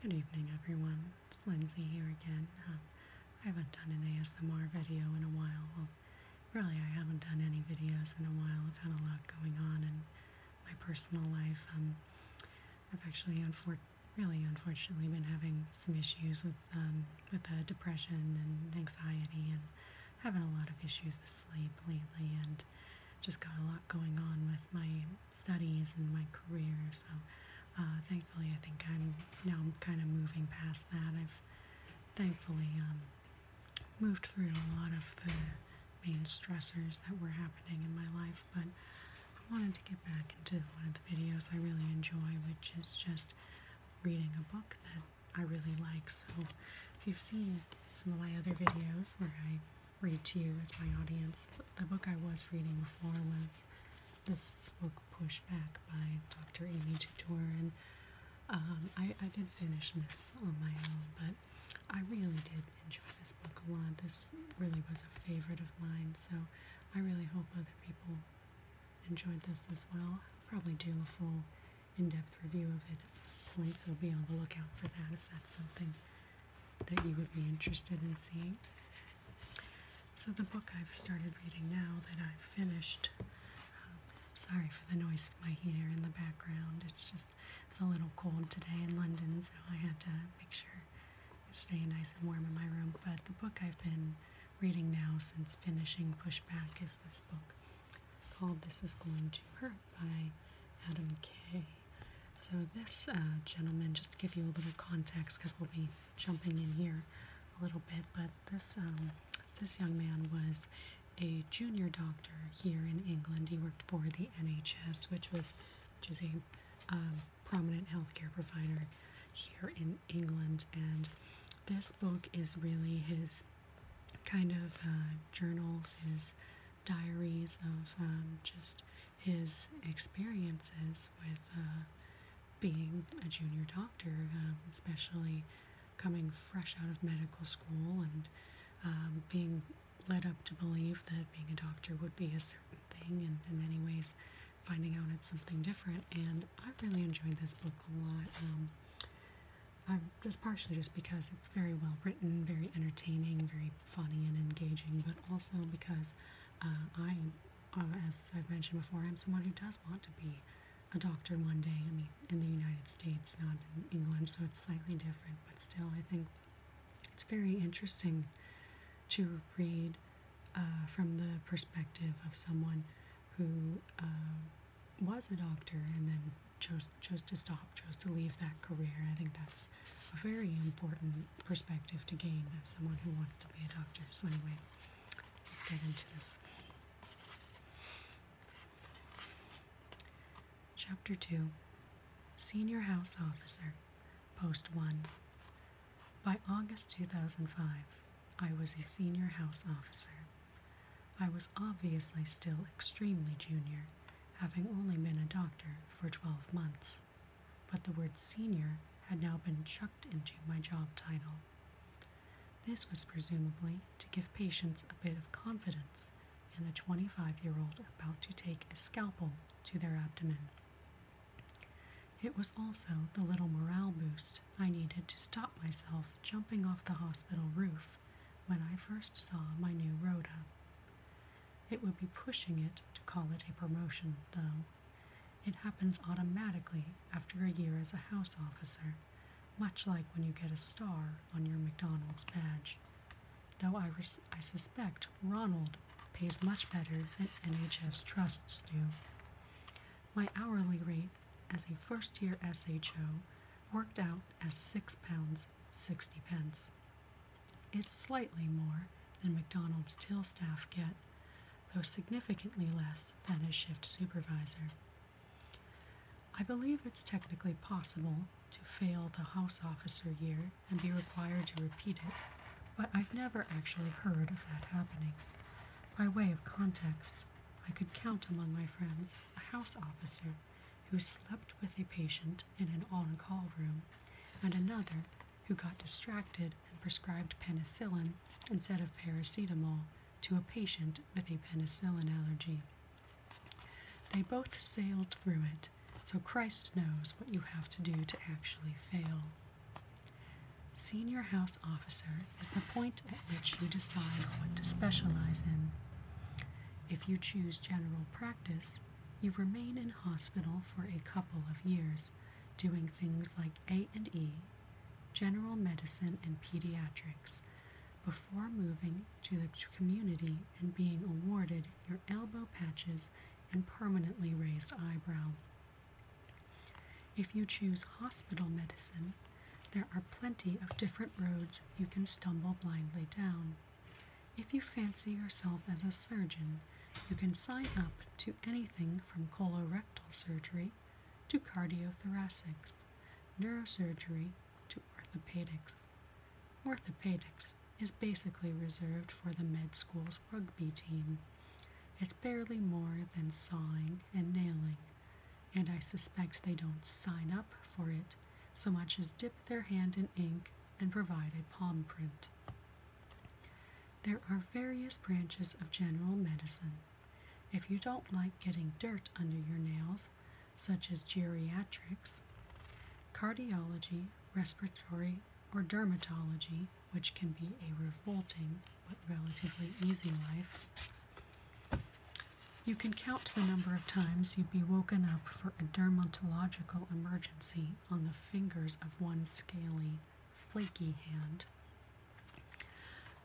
Good evening everyone, it's Lindsay here again. Um, I haven't done an ASMR video in a while. really I haven't done any videos in a while. I've had a lot going on in my personal life. Um, I've actually really unfortunately been having some issues with, um, with uh, depression and anxiety and having a lot of issues with sleep lately and just got a lot going on with my studies and my career. So uh, thankfully, I think I'm now kind of moving past that. I've thankfully um, moved through a lot of the main stressors that were happening in my life, but I wanted to get back into one of the videos I really enjoy, which is just reading a book that I really like. So if you've seen some of my other videos where I read to you as my audience. the book I was reading before was this book, back by Dr. Amy Tutor, and um, I, I did finish this on my own, but I really did enjoy this book a lot. This really was a favorite of mine, so I really hope other people enjoyed this as well. probably do a full in-depth review of it at some point, so be on the lookout for that if that's something that you would be interested in seeing. So, the book I've started reading now that I've finished, um, sorry for the noise of my heater in the background, it's just it's a little cold today in London, so I had to make sure it's staying nice and warm in my room. But the book I've been reading now since finishing Pushback is this book called This Is Going to Hurt by Adam Kay. So, this uh, gentleman, just to give you a little context, because we'll be jumping in here a little bit, but this um, this young man was a junior doctor here in England. He worked for the NHS, which was which is a um, prominent healthcare provider here in England. And this book is really his kind of uh, journals, his diaries of um, just his experiences with uh, being a junior doctor, um, especially coming fresh out of medical school and um, being led up to believe that being a doctor would be a certain thing, and in many ways, finding out it's something different. And I really enjoyed this book a lot. I'm um, just partially just because it's very well written, very entertaining, very funny and engaging, but also because uh, I, uh, as I've mentioned before, I'm someone who does want to be a doctor one day. I mean, in the United States, not in England, so it's slightly different, but still, I think it's very interesting to read uh, from the perspective of someone who was a doctor and then chose chose to stop, chose to leave that career. I think that's a very important perspective to gain as someone who wants to be a doctor. So, anyway, let's get into this. Chapter 2 Senior House Officer, Post 1. By August 2005, I was a senior house officer. I was obviously still extremely junior, having only been a doctor for 12 months but the word senior had now been chucked into my job title. This was presumably to give patients a bit of confidence in the 25 year old about to take a scalpel to their abdomen. It was also the little morale boost I needed to stop myself jumping off the hospital roof when I first saw my new rota. It would be pushing it to call it a promotion, though. It happens automatically after a year as a house officer, much like when you get a star on your McDonald's badge. Though I, I suspect Ronald pays much better than NHS trusts do. My hourly rate as a first year SHO worked out as £6.60. Pence. It's slightly more than McDonald's till staff get, though significantly less than a shift supervisor. I believe it's technically possible to fail the house officer year and be required to repeat it, but I've never actually heard of that happening. By way of context, I could count among my friends a house officer who slept with a patient in an on call room and another who got distracted and prescribed penicillin instead of paracetamol to a patient with a penicillin allergy. They both sailed through it, so Christ knows what you have to do to actually fail. Senior house officer is the point at which you decide what to specialize in. If you choose general practice, you remain in hospital for a couple of years doing things like A&E, general medicine and pediatrics before moving to the community and being awarded your elbow patches and permanently raised eyebrow. If you choose hospital medicine, there are plenty of different roads you can stumble blindly down. If you fancy yourself as a surgeon, you can sign up to anything from colorectal surgery to cardiothoracics, neurosurgery to orthopedics. Orthopedics is basically reserved for the med school's rugby team. It's barely more than sawing and nailing, and I suspect they don't sign up for it so much as dip their hand in ink and provide a palm print. There are various branches of general medicine. If you don't like getting dirt under your nails, such as geriatrics, cardiology, respiratory, or dermatology, which can be a revolting but relatively easy life, you can count the number of times you'd be woken up for a dermatological emergency on the fingers of one scaly flaky hand.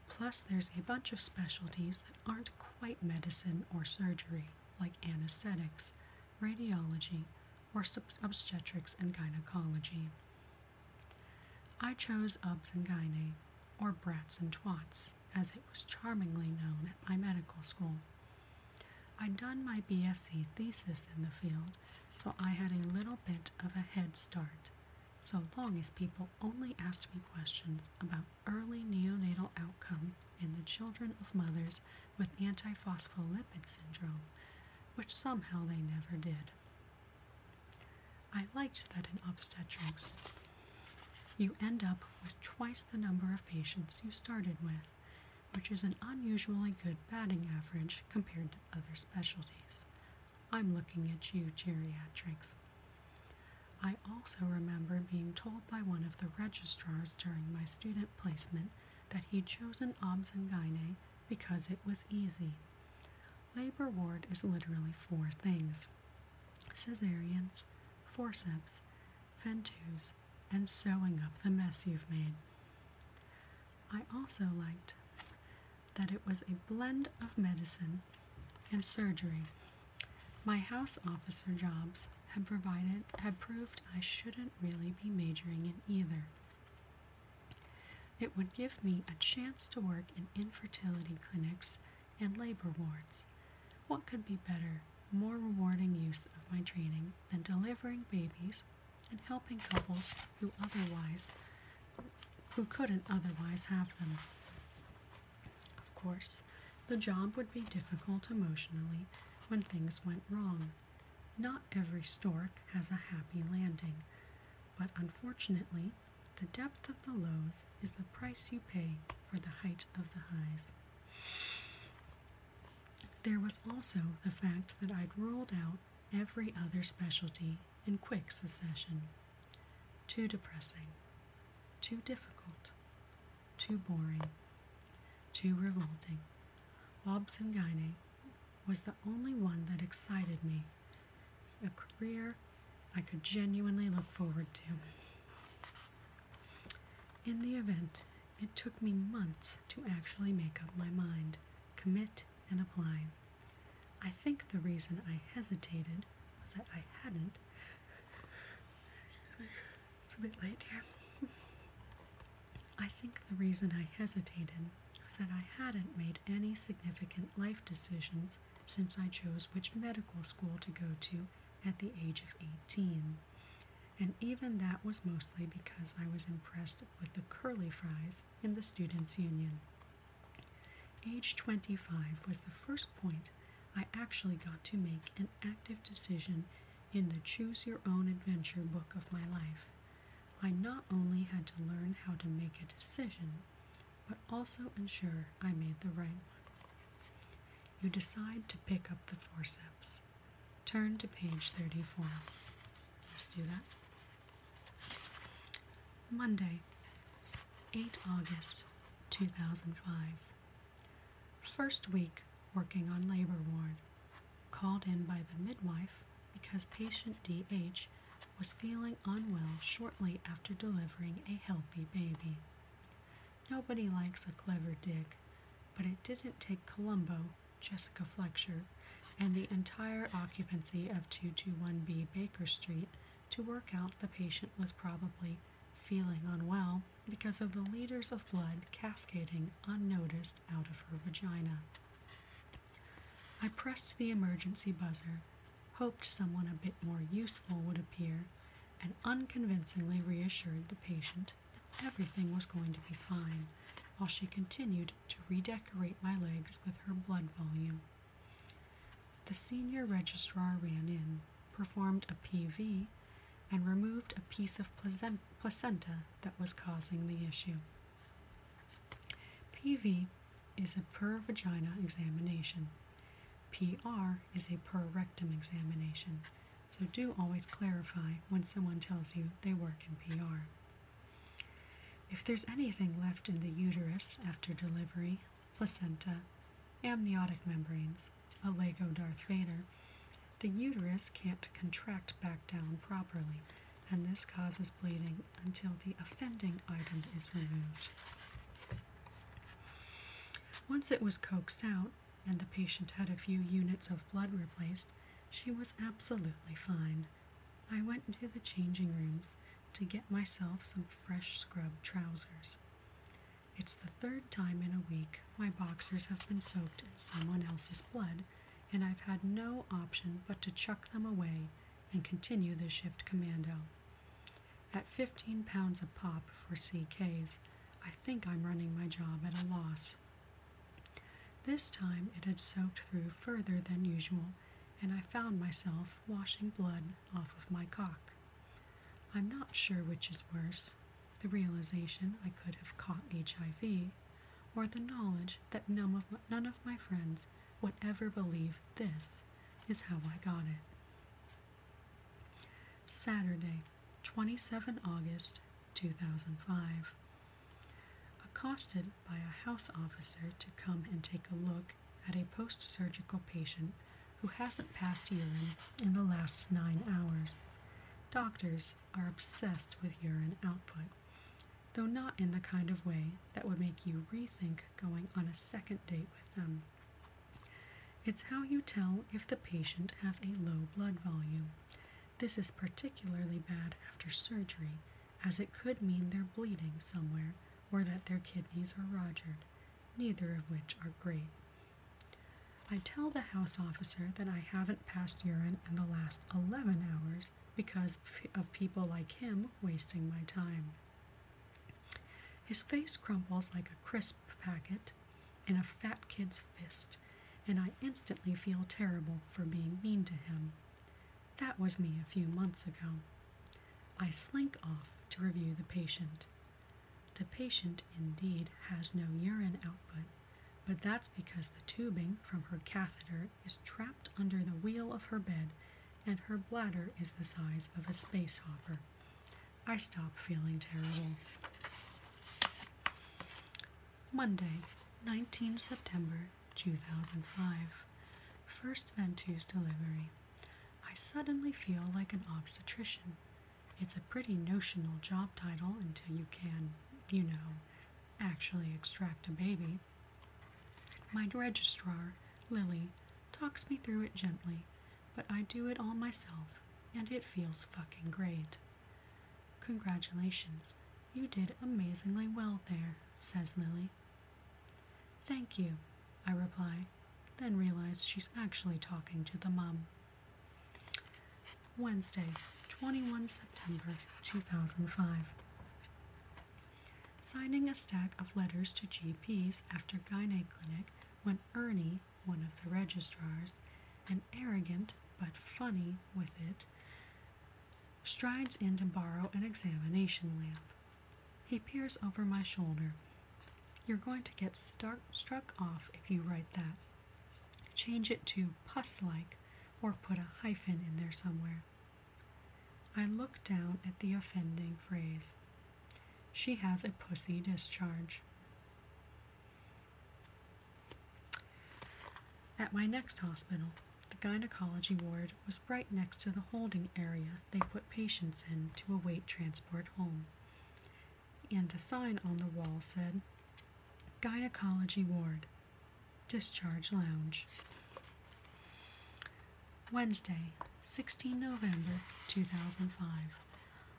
Plus, there's a bunch of specialties that aren't quite medicine or surgery, like anesthetics, radiology, or obstetrics and gynecology. I chose UBS and Gyne, or Brats and Twats, as it was charmingly known at my medical school. I'd done my BSc thesis in the field so I had a little bit of a head start, so long as people only asked me questions about early neonatal outcome in the children of mothers with antiphospholipid syndrome, which somehow they never did. I liked that in obstetrics, you end up with twice the number of patients you started with, which is an unusually good batting average compared to other specialties. I'm looking at you, geriatrics. I also remember being told by one of the registrars during my student placement that he'd chosen OBS and Gyne because it was easy. Labor ward is literally four things cesareans, forceps, ventouse, and sewing up the mess you've made. I also liked that it was a blend of medicine and surgery. My house officer jobs had provided had proved I shouldn't really be majoring in either. It would give me a chance to work in infertility clinics and labor wards. What could be better, more rewarding use of my training than delivering babies and helping couples who otherwise who couldn't otherwise have them. Of course, the job would be difficult emotionally when things went wrong. Not every stork has a happy landing, but unfortunately, the depth of the lows is the price you pay for the height of the highs. There was also the fact that I'd ruled out every other specialty in quick succession. Too depressing, too difficult, too boring, too revolting. Bobs and Gyne was the only one that excited me, a career I could genuinely look forward to. In the event, it took me months to actually make up my mind, commit and apply. I think the reason I hesitated was that I hadn't. It's a bit late here. I think the reason I hesitated was that I hadn't made any significant life decisions since I chose which medical school to go to at the age of 18. And even that was mostly because I was impressed with the curly fries in the Students' Union. Age 25 was the first point I actually got to make an active decision in the Choose Your Own Adventure book of my life. I not only had to learn how to make a decision, but also ensure I made the right one. You decide to pick up the forceps. Turn to page 34. Let's do that. Monday, 8 August 2005. First week working on labor ward. Called in by the midwife because patient DH was feeling unwell shortly after delivering a healthy baby. Nobody likes a clever dick, but it didn't take Columbo Jessica Fletcher, and the entire occupancy of 221B Baker Street to work out the patient was probably feeling unwell because of the liters of blood cascading unnoticed out of her vagina. I pressed the emergency buzzer, hoped someone a bit more useful would appear, and unconvincingly reassured the patient that everything was going to be fine while she continued to redecorate my legs with her blood volume. The senior registrar ran in, performed a PV, and removed a piece of placenta that was causing the issue. PV is a per vagina examination. PR is a per rectum examination, so do always clarify when someone tells you they work in PR. If there's anything left in the uterus after delivery, placenta, amniotic membranes, a Lego Darth Vader, the uterus can't contract back down properly, and this causes bleeding until the offending item is removed. Once it was coaxed out and the patient had a few units of blood replaced, she was absolutely fine. I went into the changing rooms to get myself some fresh scrub trousers. It's the third time in a week my boxers have been soaked in someone else's blood, and I've had no option but to chuck them away and continue the shift commando. At 15 pounds a pop for CKs, I think I'm running my job at a loss. This time it had soaked through further than usual, and I found myself washing blood off of my cock. I'm not sure which is worse the realization I could have caught HIV, or the knowledge that none of my, friends would ever believe this is how I got it. Saturday, 27 August 2005. Accosted by a house officer to come and take a look at a post surgical patient who hasn't passed urine in the last nine hours. Doctors are obsessed with urine output, though not in the kind of way that would make you rethink going on a second date with them. It's how you tell if the patient has a low blood volume. This is particularly bad after surgery as it could mean they're bleeding somewhere or that their kidneys are rogered, neither of which are great. I tell the house officer that I haven't passed urine in the last 11 hours because of people like him wasting my time. His face crumples like a crisp packet in a fat kid's fist, and I instantly feel terrible for being mean to him. That was me a few months ago. I slink off to review the patient. The patient indeed has no urine output, but that's because the tubing from her catheter is trapped under the wheel of her bed and her bladder is the size of a space hopper. I stop feeling terrible. Monday, 19 September 2005. First Ventoux delivery. I suddenly feel like an obstetrician. It's a pretty notional job title until you can, you know, actually extract a baby. My registrar, Lily, talks me through it gently, but I do it all myself, and it feels fucking great. Congratulations, you did amazingly well there, says Lily. Thank you, I reply, then realize she's actually talking to the mum. Wednesday, 21 September 2005. Signing a stack of letters to GPs after Gynae Clinic when Ernie, one of the registrars, an arrogant but funny with it, strides in to borrow an examination lamp. He peers over my shoulder. You're going to get start, struck off if you write that. Change it to pus like or put a hyphen in there somewhere. I look down at the offending phrase. She has a pussy discharge. At my next hospital, the gynecology ward was right next to the holding area they put patients in to await transport home. And the sign on the wall said, Gynecology Ward, Discharge Lounge. Wednesday, 16 November 2005.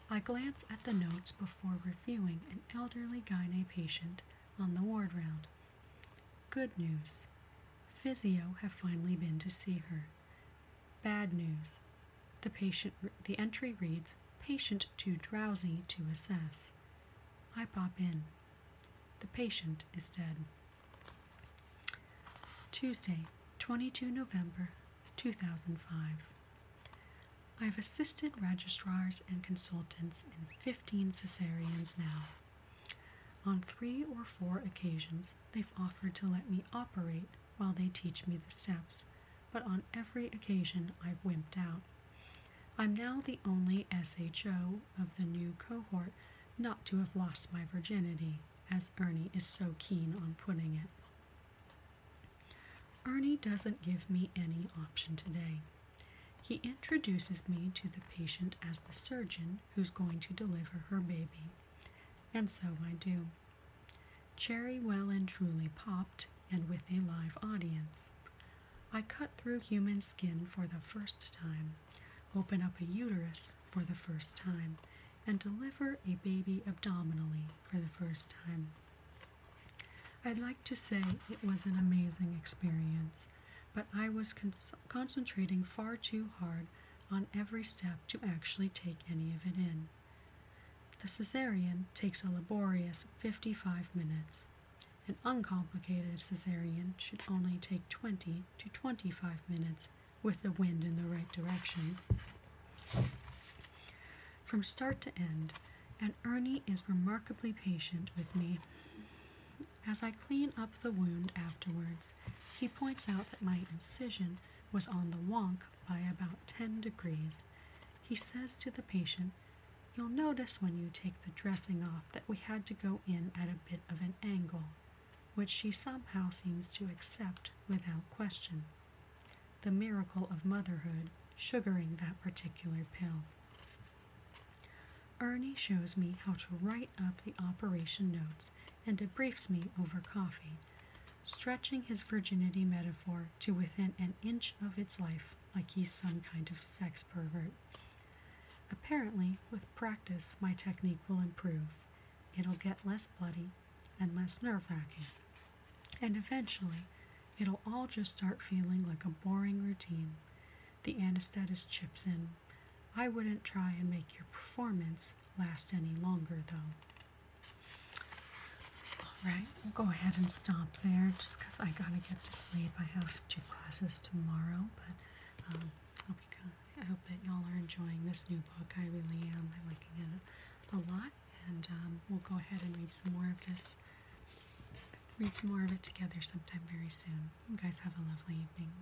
I glance at the notes before reviewing an elderly gynae patient on the ward round. Good news. Physio have finally been to see her. Bad news. The patient the entry reads patient too drowsy to assess. I pop in. The patient is dead. Tuesday, 22 November 2005. I've assisted registrars and consultants in 15 cesareans now. On three or four occasions, they've offered to let me operate while they teach me the steps, but on every occasion I've wimped out. I'm now the only SHO of the new cohort not to have lost my virginity, as Ernie is so keen on putting it. Ernie doesn't give me any option today. He introduces me to the patient as the surgeon who's going to deliver her baby. And so I do. Cherry well and truly popped, and with a live audience. I cut through human skin for the first time, open up a uterus for the first time, and deliver a baby abdominally for the first time. I'd like to say it was an amazing experience, but I was concentrating far too hard on every step to actually take any of it in. The cesarean takes a laborious 55 minutes. An uncomplicated cesarean should only take 20 to 25 minutes with the wind in the right direction. From start to end, and Ernie is remarkably patient with me. As I clean up the wound afterwards, he points out that my incision was on the wonk by about 10 degrees. He says to the patient, You'll notice when you take the dressing off that we had to go in at a bit of an angle, which she somehow seems to accept without question. The miracle of motherhood sugaring that particular pill. Ernie shows me how to write up the operation notes and debriefs me over coffee, stretching his virginity metaphor to within an inch of its life like he's some kind of sex pervert. Apparently, with practice, my technique will improve. It'll get less bloody and less nerve wracking. And eventually, it'll all just start feeling like a boring routine. The anesthetist chips in I wouldn't try and make your performance last any longer though. Alright, we'll go ahead and stop there just because I gotta get to sleep. I have two classes tomorrow, but um, I hope that y'all are enjoying this new book. I really am. I'm liking it a lot, and um, we'll go ahead and read some more of this. Read some more of it together sometime very soon. You guys have a lovely evening.